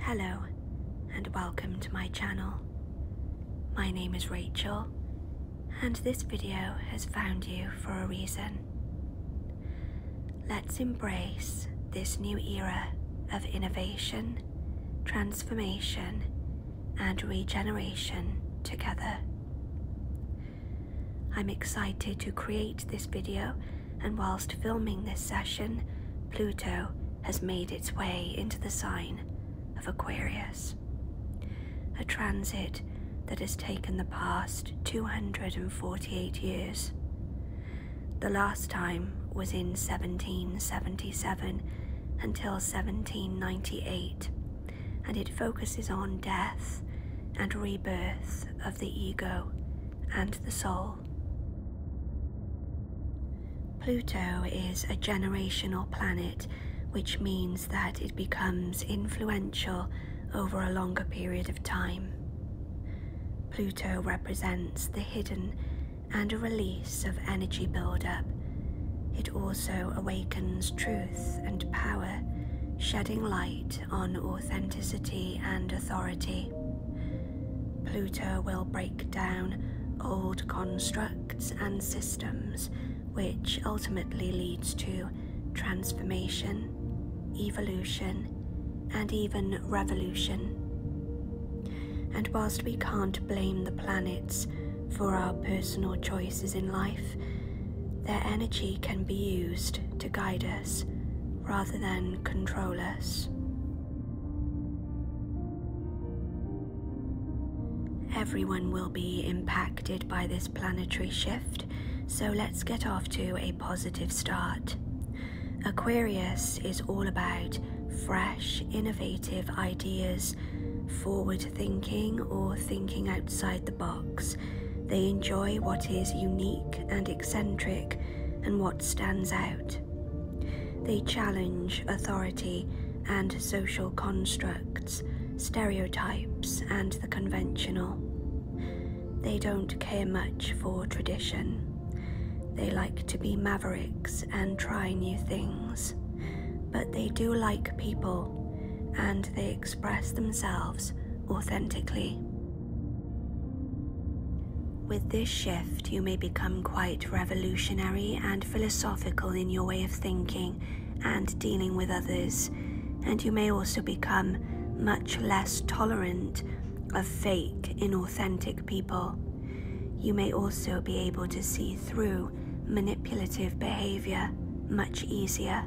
Hello and welcome to my channel. My name is Rachel and this video has found you for a reason. Let's embrace this new era of innovation, transformation, and regeneration together. I'm excited to create this video, and whilst filming this session, Pluto has made its way into the sign of Aquarius. A transit that has taken the past 248 years. The last time was in 1777 until 1798, and it focuses on death and rebirth of the ego and the soul. Pluto is a generational planet which means that it becomes influential over a longer period of time. Pluto represents the hidden and a release of energy buildup. It also awakens truth and power, shedding light on authenticity and authority. Pluto will break down old constructs and systems which ultimately leads to transformation, evolution, and even revolution. And whilst we can't blame the planets for our personal choices in life, their energy can be used to guide us rather than control us. Everyone will be impacted by this planetary shift, so let's get off to a positive start. Aquarius is all about fresh, innovative ideas, forward thinking, or thinking outside the box. They enjoy what is unique and eccentric and what stands out. They challenge authority and social constructs stereotypes, and the conventional. They don't care much for tradition. They like to be mavericks and try new things. But they do like people, and they express themselves authentically. With this shift, you may become quite revolutionary and philosophical in your way of thinking and dealing with others, and you may also become much less tolerant of fake, inauthentic people. You may also be able to see through manipulative behaviour much easier.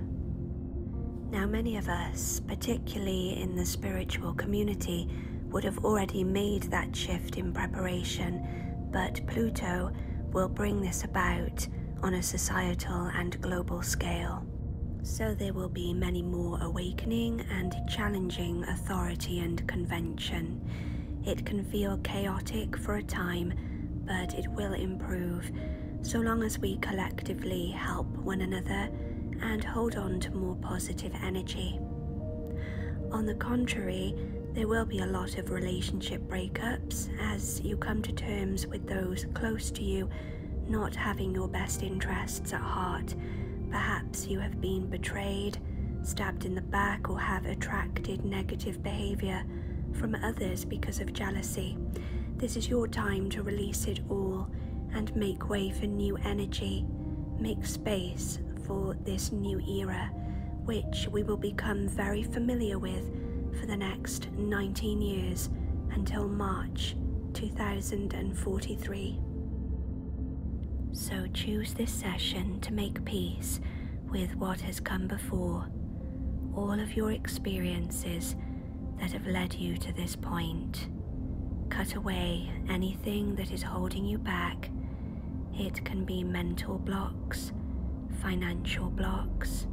Now, many of us, particularly in the spiritual community, would have already made that shift in preparation, but Pluto will bring this about on a societal and global scale. So there will be many more awakening and challenging authority and convention. It can feel chaotic for a time, but it will improve so long as we collectively help one another and hold on to more positive energy. On the contrary, there will be a lot of relationship breakups as you come to terms with those close to you not having your best interests at heart. Perhaps you have been betrayed, stabbed in the back, or have attracted negative behaviour from others because of jealousy. This is your time to release it all and make way for new energy. Make space for this new era, which we will become very familiar with for the next 19 years until March 2043. So choose this session to make peace with what has come before, all of your experiences that have led you to this point. Cut away anything that is holding you back it can be mental blocks, financial blocks,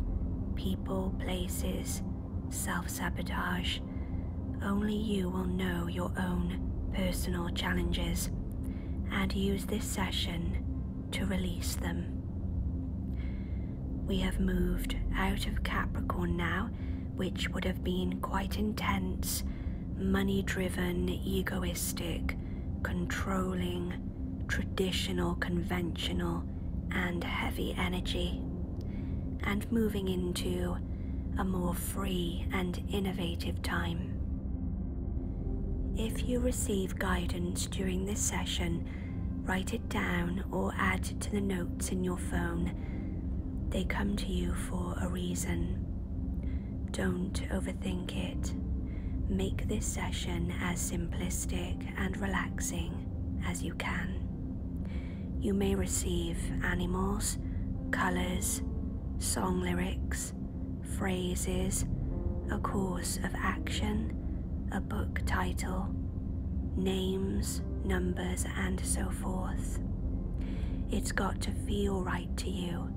people, places, self sabotage. Only you will know your own personal challenges and use this session to release them. We have moved out of Capricorn now, which would have been quite intense, money driven, egoistic, controlling, traditional, conventional, and heavy energy, and moving into a more free and innovative time. If you receive guidance during this session, write it down or add to the notes in your phone. They come to you for a reason. Don't overthink it. Make this session as simplistic and relaxing as you can. You may receive animals, colours, song lyrics, phrases, a course of action, a book title, names, numbers, and so forth. It's got to feel right to you,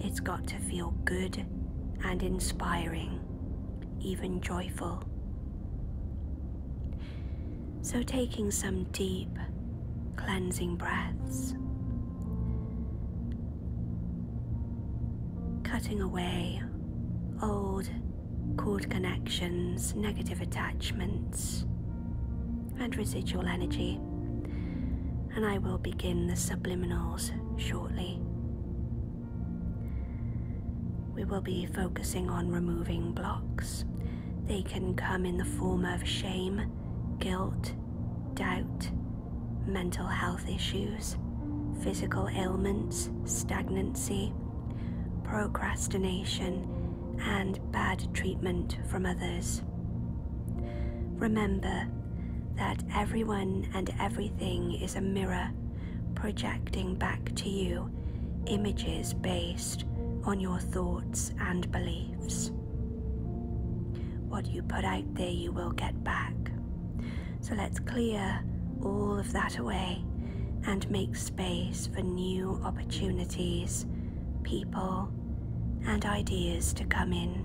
it's got to feel good and inspiring, even joyful. So, taking some deep, cleansing breaths, cutting away old cord connections, negative attachments, and residual energy and I will begin the subliminals shortly. We will be focusing on removing blocks. They can come in the form of shame, guilt, doubt, mental health issues, physical ailments, stagnancy, procrastination, and bad treatment from others. Remember, that everyone and everything is a mirror projecting back to you images based on your thoughts and beliefs. What you put out there, you will get back. So let's clear all of that away and make space for new opportunities, people, and ideas to come in.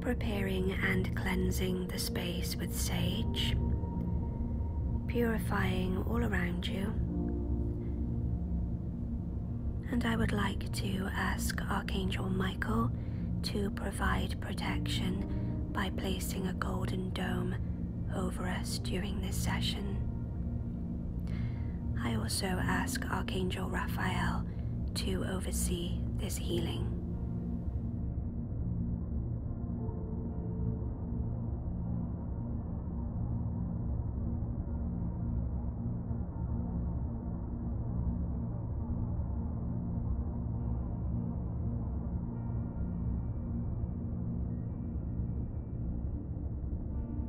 Preparing and cleansing the space with sage, purifying all around you. And I would like to ask Archangel Michael to provide protection by placing a golden dome over us during this session. I also ask Archangel Raphael to oversee this healing.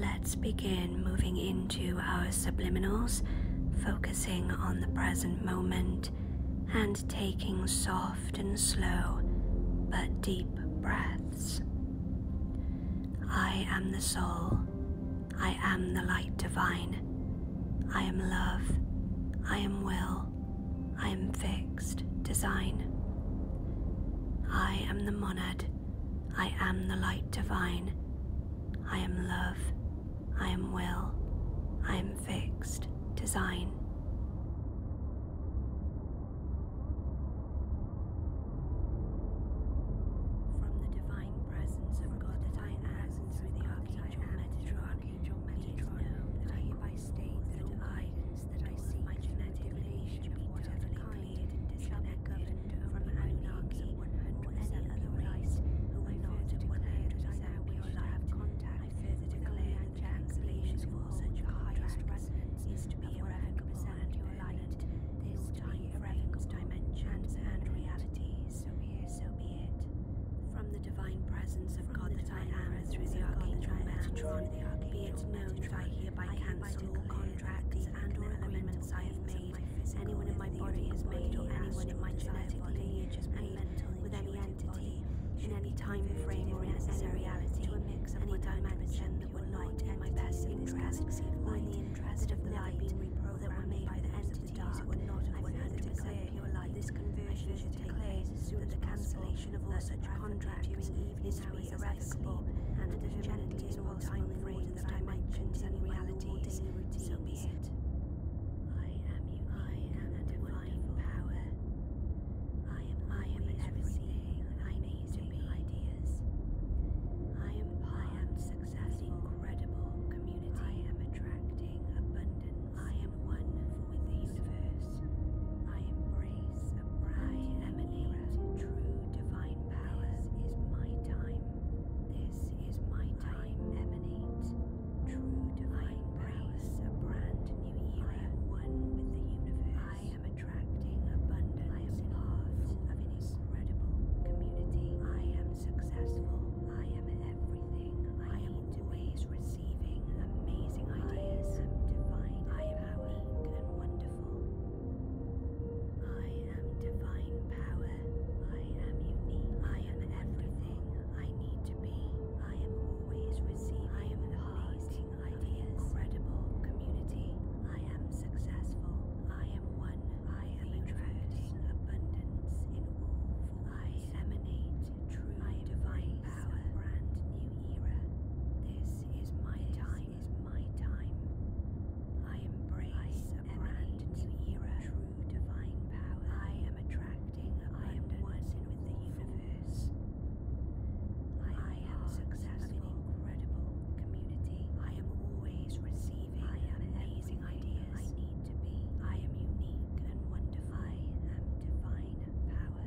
Let's begin moving into our subliminals, focusing on the present moment and taking soft soft and slow but deep breaths. I am the soul. I am the light divine. I am love. I am will. I am fixed design. I am the monad. I am the light divine. I am love. I am will, I am fixed, design. From the divine presence of God that I am through the archangel Metatron, that I hereby state that I, that I see my genetic of whatever kind, shall be from anarchy or any other race who are not declared as I have contact, I further that declare that the cancellation for such a highest resonance is to be irrevocable and permanent, this time be dimensions and realities, so be it, From the divine presence of God that I am through the Archangel Metatron, be it known that I hereby cancel all contracts and or agreements I have made, anyone in my body has made or anyone in my genetic lineage has made, with any in any time frame or in any reality to a mix of any dimension that were not and my best interest or in of the light or that were made by the entities who were not of 100% pure light. This conversion should take place as soon as the cancellation of all such contracts is to be irrevocable and that if gently in all time frames that I reality, so be it. I am unique I am and divine power. I am I am ever seeing need ideas. I am I am success incredible community. I am attracting abundance. I am one with the universe. I embrace a bright emanate true divine power. is my time. This is my time. emanate True divine grace, I am one with the universe. I am attracting abundance in hearts of an incredible community. I am successful. I am everything. I, am always receiving amazing ideas. I am divine. I am power. and wonderful. I am divine power. I am unique. I am everything I need to be. I am always receiving I amazing ideas, incredible community. I am successful. I am one. I am attracting abundance in all forms. I emanate true divine power. brand new era. This is my time. this Is my time. I embrace a brand new era. True divine power. I am attracted. I am one with the universe. I, I am successful. An incredible community. I am always receiving amazing ideas I need to be. I am unique and wonderful. I am divine power.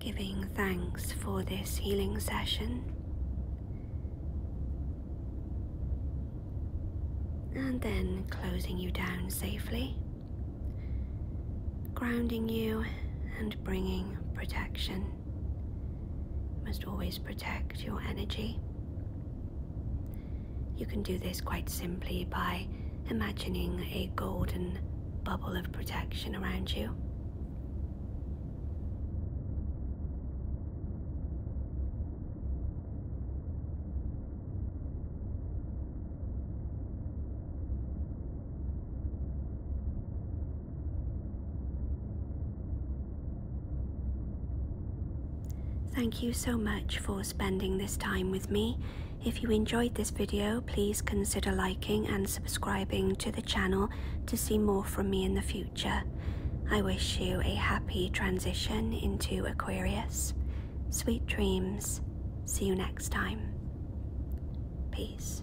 giving thanks for this healing session and then closing you down safely, grounding you and bringing protection. must always protect your energy. You can do this quite simply by imagining a golden bubble of protection around you. Thank you so much for spending this time with me. If you enjoyed this video, please consider liking and subscribing to the channel to see more from me in the future. I wish you a happy transition into Aquarius. Sweet dreams. See you next time. Peace.